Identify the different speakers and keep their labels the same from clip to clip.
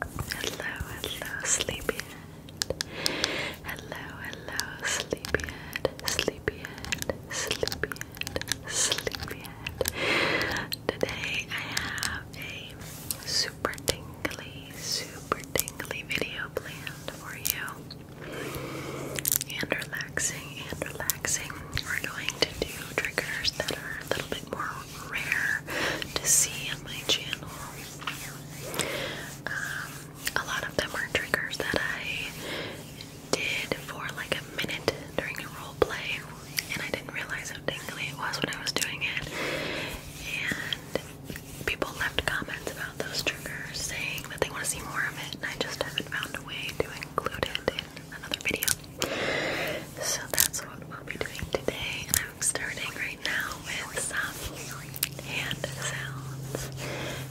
Speaker 1: hello, sleepyhead. Hello, hello, sleepyhead, sleepyhead, sleepyhead, sleepyhead. Today I have a super tingly, super tingly video planned for you. And relaxing, and relaxing. We're going to do triggers that are a little bit more rare to see on my channel. Um, a lot of them are triggers that I did for like a minute during a role play, and I didn't realize how tingly it was when I was doing it. And people left comments about those triggers saying that they want to see more of it, and I just haven't found a way to include it in another video. So that's what we'll be doing today, and I'm starting right now with some hand sounds.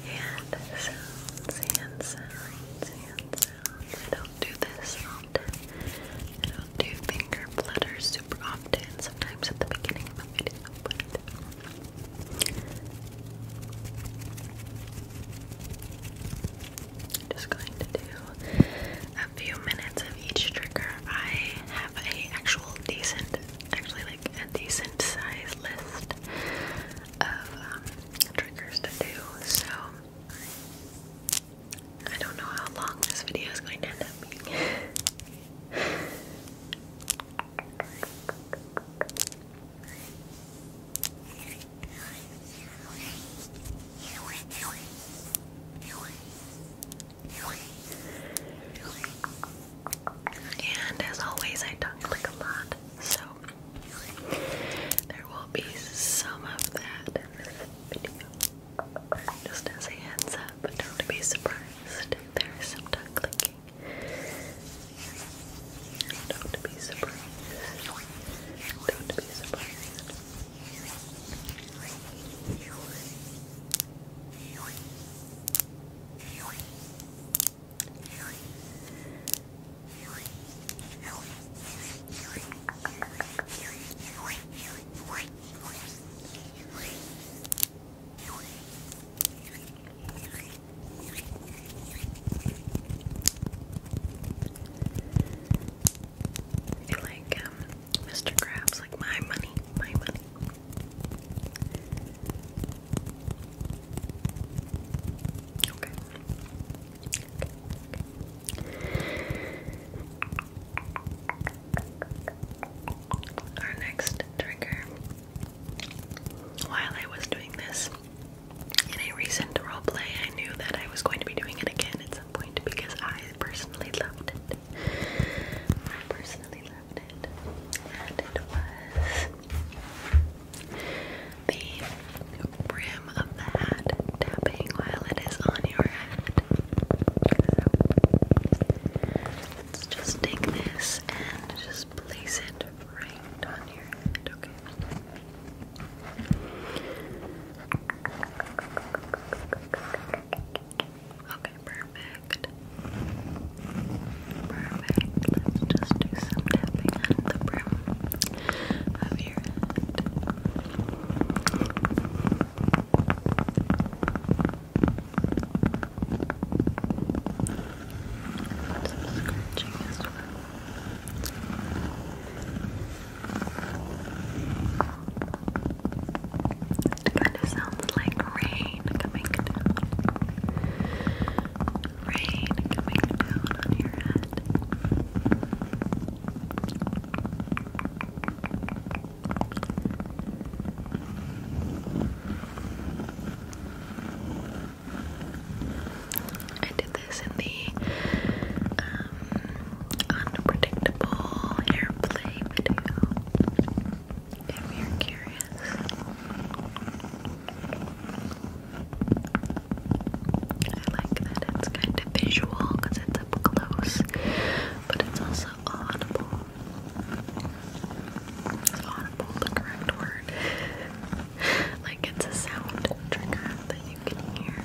Speaker 1: Hand sounds, hand sounds, hand sounds. I don't do this often. I don't do finger flutters super often, sometimes at the beginning of a video, but I'm just going to do a few minutes of each trigger. I have a actual decent, actually like a decent size list of um, triggers to do. So I don't know how long this video is going to end up being. And as always, I tongue click a lot, so there will be some of that in this video. Just as a heads up, don't be surprised there is some tongue clicking. Don't be surprised. Don't be surprised. I like um Mr. Krabs, like my money, my money. Our next trigger. While I was doing this in a recent roleplay, I knew that I was going to be doing it again because I personally loved it. I personally loved it. And it was the brim of the hat tapping while it is on your head. let's just take this and just place it right on your head, Okay. Okay, perfect. Perfect. Let's just do some tapping on the brim of your head. Some scratching as well. It kind of sounds like rain coming down. Rain coming down on your head. I did this in the um, unpredictable airplay video if you're curious. I like that it's kind of visual because it's up close, but it's also audible. Is audible the correct word? like it's a sound trigger that you can hear.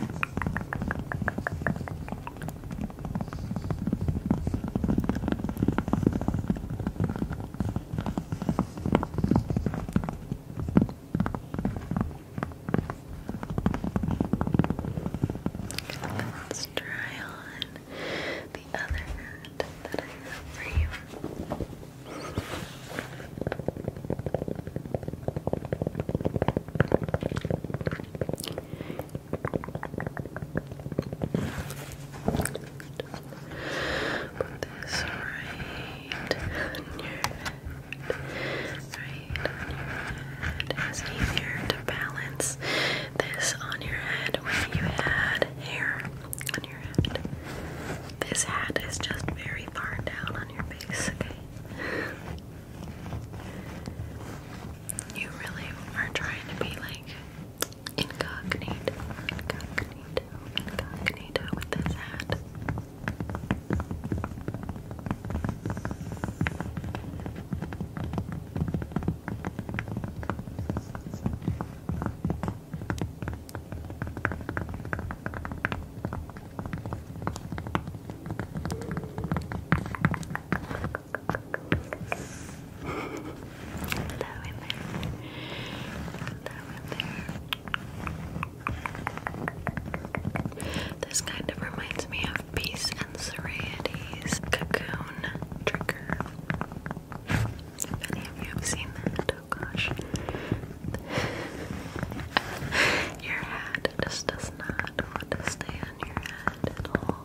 Speaker 1: Let's try on the other hat that I have for you. Put this right on your head. Right on your head. It's easier to balance this on your head when you had hair on your head. This hat is just very far down on your face, okay? You really are trying to be like incognito, incognito, incognito with this hat. This kind of reminds me of Peace and Serenity's Cocoon Trigger. any of you have seen that, oh gosh. your head just does not want to stay on your head at all.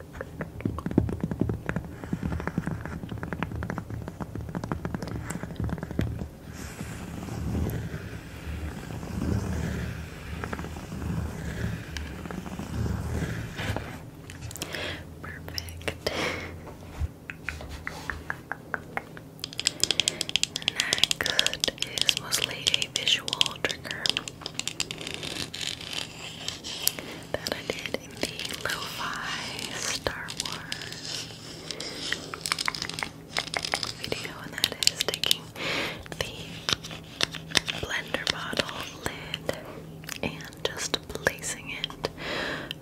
Speaker 1: Perfect. Next is mostly a visual trigger that I did the Lo-Fi Star Wars video, and that is taking the blender bottle lid and just placing it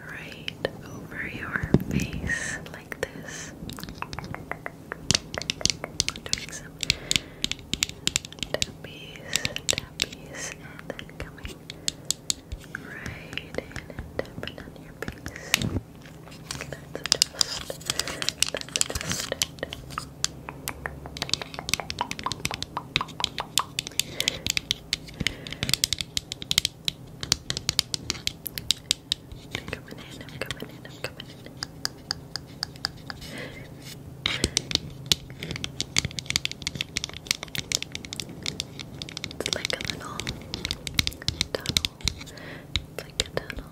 Speaker 1: right over your face like this. Doing some tappies, tappies, and then coming Right in and tap on your face. That's just, that's just it. I'm coming in, coming in, coming in. It's like a little tunnel. It's like a tunnel.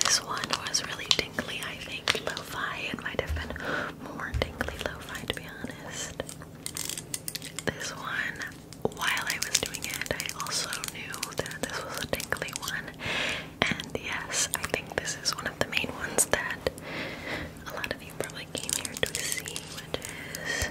Speaker 1: This one was really tingly, I think. Lo fi, it might have more tingly lo fi to be honest. This one, while I was doing it, I also knew that this was a tingly one, and yes, I think this is one of the main ones that a lot of you probably came here to see, which is.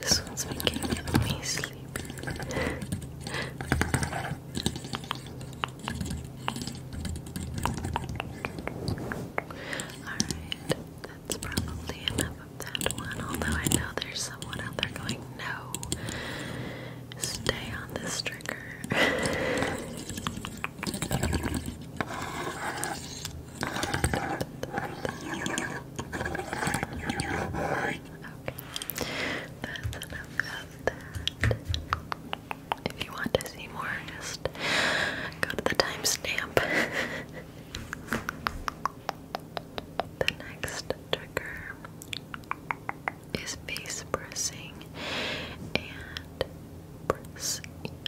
Speaker 1: This one's making me sleepy. Alright, that's probably enough of that one, although I know there's someone out there going, no, stay on this trigger. that's enough of that. If you want to see more, just go to the timestamp. the next trigger is face pressing and pressing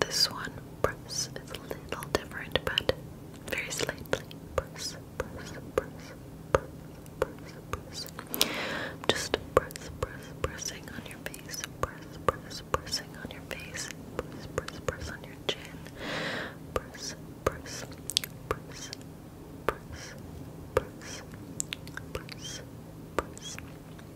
Speaker 1: this one, press, is a little different, but very slightly. Press, press, press, press, press, press. Just press, press, pressing on your face. Press, press, pressing on your face. Press, press, press on your chin. Press, press, press, press, press, press, press.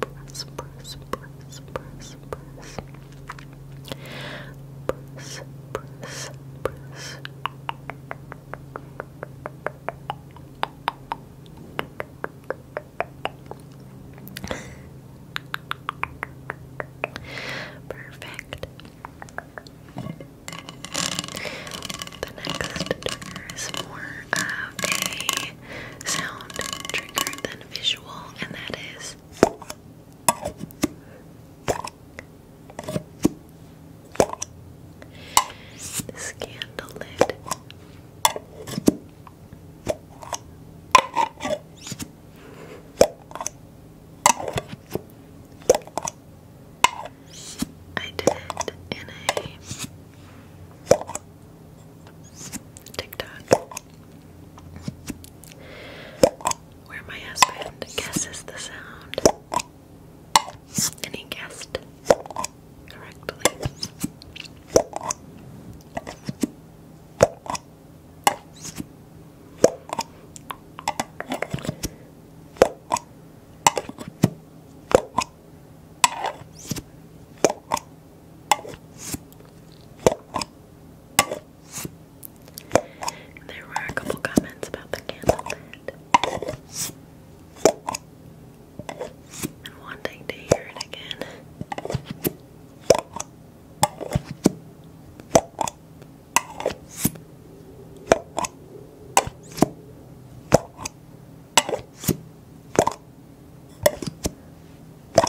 Speaker 1: press, press, press, press, press. Press, press, press. Perfect. The next trigger is more of a sound trigger than visual, and that is. This lid. I did in a TikTok where my husband guesses the sound. And he guessed correctly. There were a couple comments about the candle and wanting to hear it again.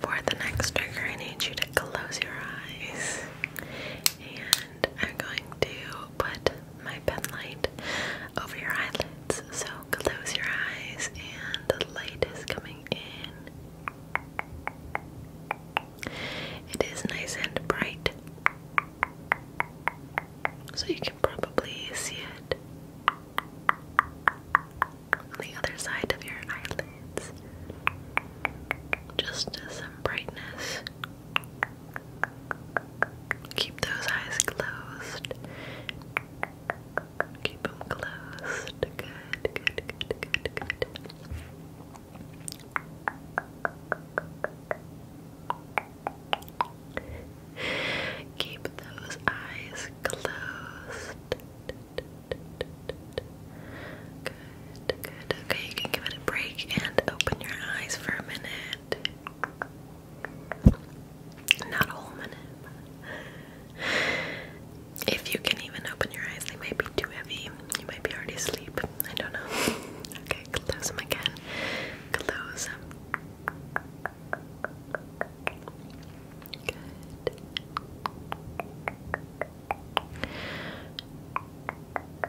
Speaker 1: For the next trigger, I need you to close your eyes and I'm going to put my pen light over your eyelids. So close your eyes, and the light is coming in. It is nice and bright, so you can probably see it on the other side of your eyelid lens. Just some brightness. Keep those eyes closed. Keep them closed. Good, good, good, good, good. Keep those eyes closed. Good, good. Okay, you can give it a break and open your eyes for a minute. Not a whole minute. If you can even open your eyes, they might be too heavy. You might be already asleep. I don't know. Okay, close them again. Close them. Good.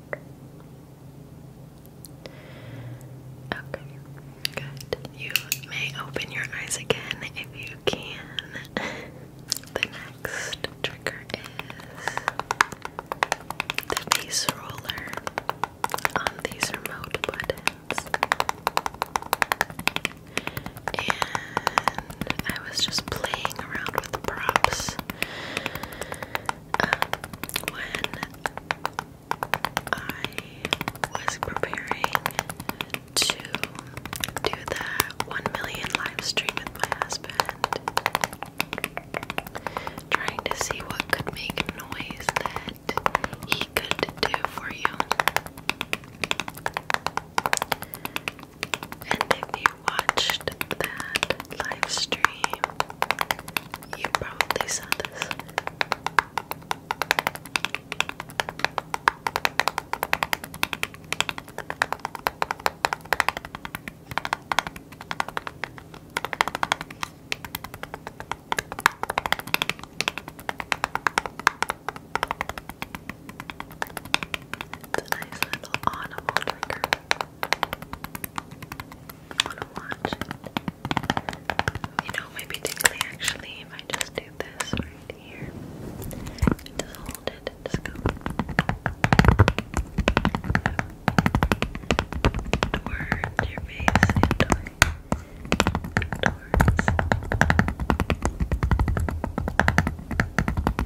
Speaker 1: Okay, good. You may open your eyes again if you can. the next trigger is the base roller on these remote buttons. And I was just playing around with the props um, when I was preparing to do the 1 million live stream with my husband, trying to see what could make noise that he could do for you. And if you watched that live stream, you probably saw this. It's a nice little audible trigger wanna watch You know, it might actually if I just do this right here. Just hold it just go. Towards your face and towards.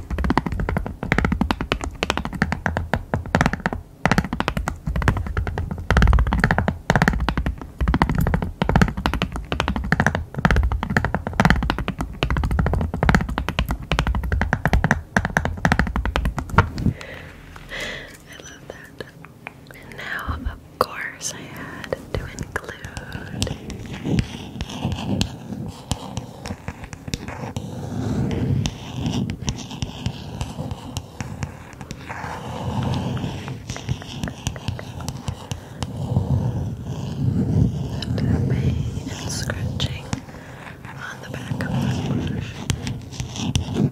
Speaker 1: I love that. And now, of course, I had to include Tapping and scratching on the back of the brush. Good.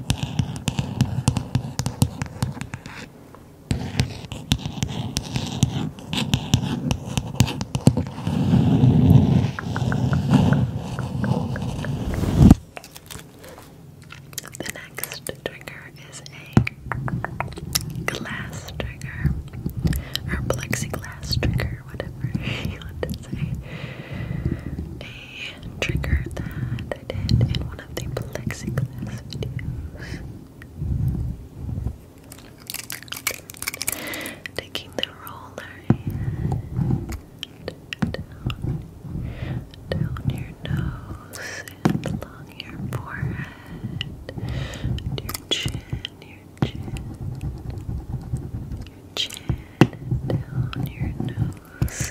Speaker 1: The next trigger is a glass trigger or plexiglass trigger, whatever you want to say. A trigger that I in one of the plexiglass videos. Taking the roller down, your nose and along your forehead, your chin, your chin, your chin, down your nose.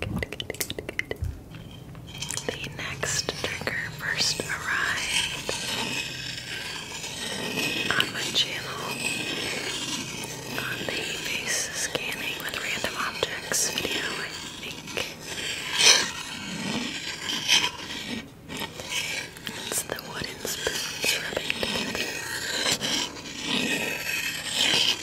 Speaker 1: The next trigger first arrived on my channel on the face scanning with random objects video, I think. It's the wooden spoons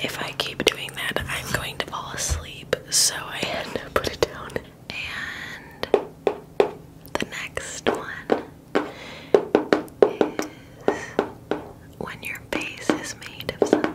Speaker 1: If I keep doing that, I'm going to fall asleep, so I had to put it down. And the next one is when your base is made of something.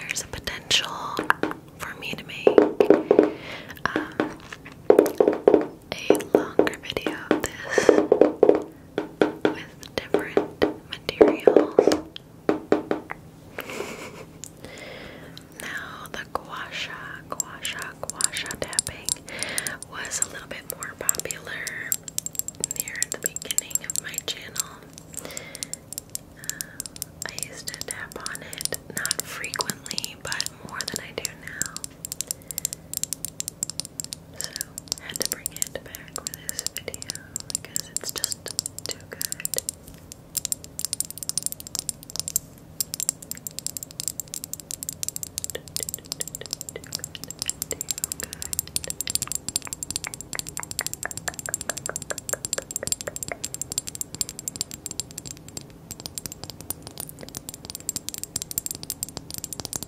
Speaker 1: There's a potential for me to make uh, a longer video of this with different materials. now, the gua sha, gua tapping was a little bit more popular near the beginning of my channel. Um, I used to tap on it, not frequently, but more than I do now had to bring it back for this video because it's just too good. too good.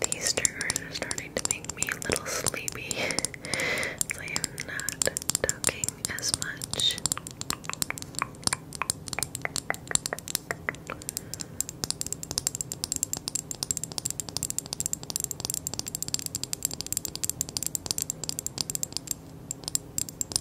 Speaker 1: these triggers are starting to make me a little sleepy, I am not talking as much.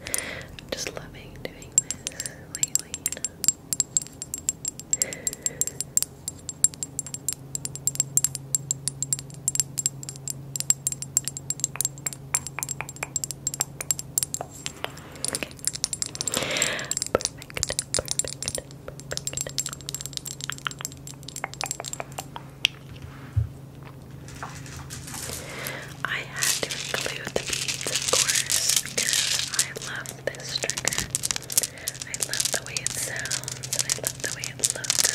Speaker 1: I'm just loving doing this lately, Perfect, perfect, perfect. I had to include the beads, of course, because I love this trigger. I love the way it sounds, and I love the way it looks.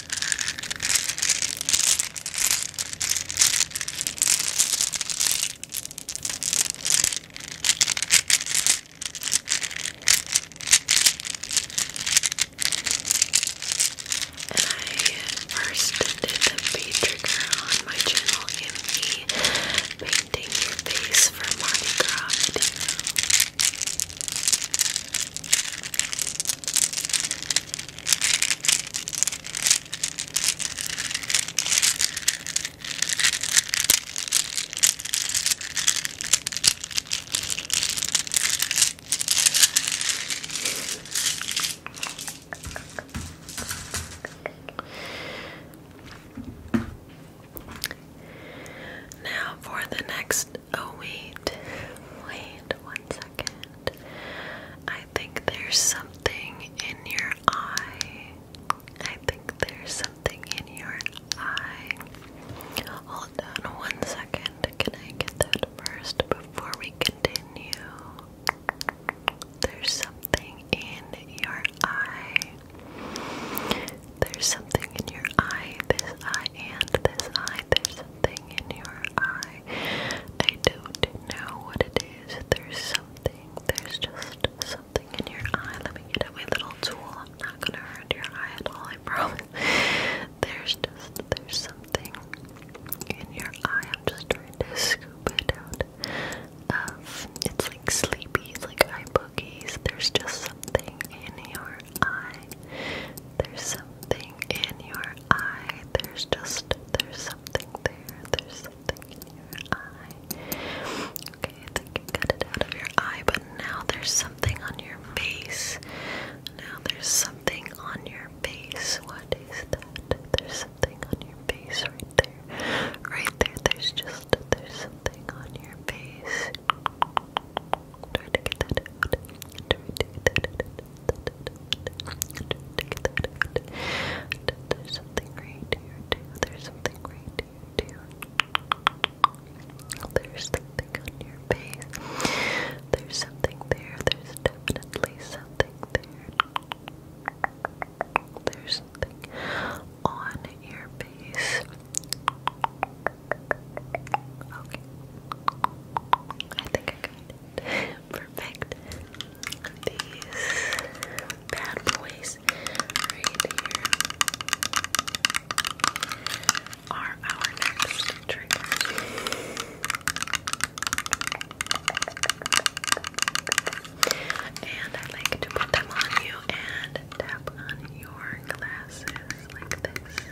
Speaker 1: first did the V on my channel in me painting your face for Mardi now, for the next Oh, wait. Wait one second. I think there's something in your eye. I think there's something in your eye. Hold on one second. Can I get that first before we continue? There's something in your eye. There's something in your eye. This eye and this eye. There's something in your eye. I don't know what it is. There's something. There's just something in your eye. Let me get my little tool. I'm not gonna hurt your eye at all, I promise. There's just there's something in your eye. I'm just trying to scoop it out it's like sleepies, like eye boogies. There's just something in your eye. There's something in your eye. There's just, there's something there. There's something in your eye. Okay, I think you got it out of your eye, but now there's something on your face. Now there's something on your face. What is that? There's something on your face right there. Right there, there's just, there's something on your face. Try to get that out. Try to get that out. There's something right here There's something right here There's something on your face. There's something there. There's definitely something there. There's something on your face. Okay. I think I got it. Perfect. These bad boys right here are our next trigger. And I like to put them on you and tap on your glasses like this.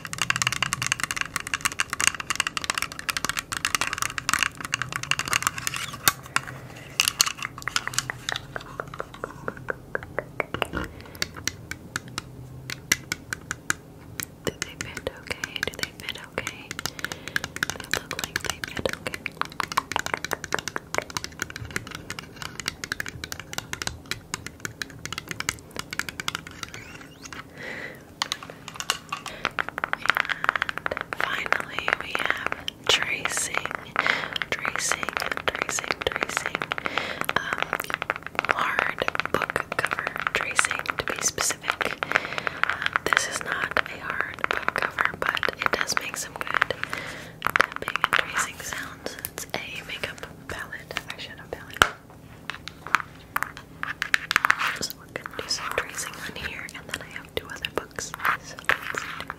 Speaker 1: Do they fit okay? Do they fit okay? They look like they fit okay finally, we have tracing, tracing, tracing, tracing. Um, hard book cover tracing, to be specific. Um, this is not a hard book cover, but it does make some good tapping tracing sounds. It's a makeup palette, eyeshadow palette. So we're gonna do some tracing on here, and then I have two other books. So let's do some tracing.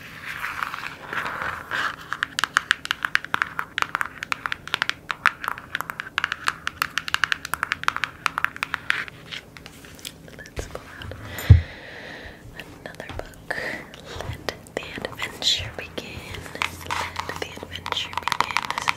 Speaker 1: Let's pull out another book. Let the adventure begin. Let the adventure begin. This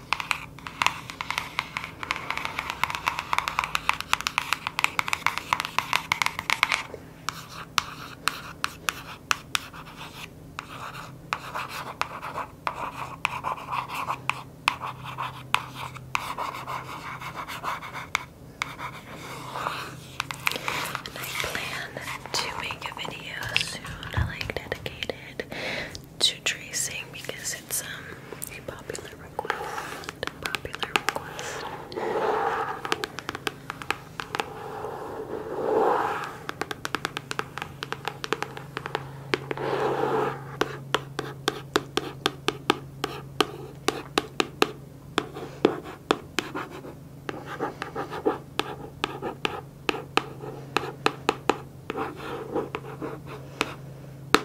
Speaker 1: I plan to make a video soon, like dedicated to tracing because it's um, a Popular request.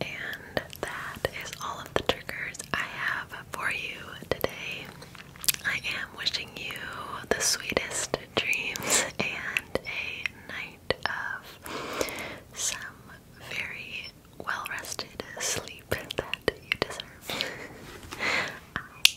Speaker 1: And that is all of the triggers I have for you today. I am wishing you the sweetest dreams and a night of some very well rested sleep that you deserve. I love you.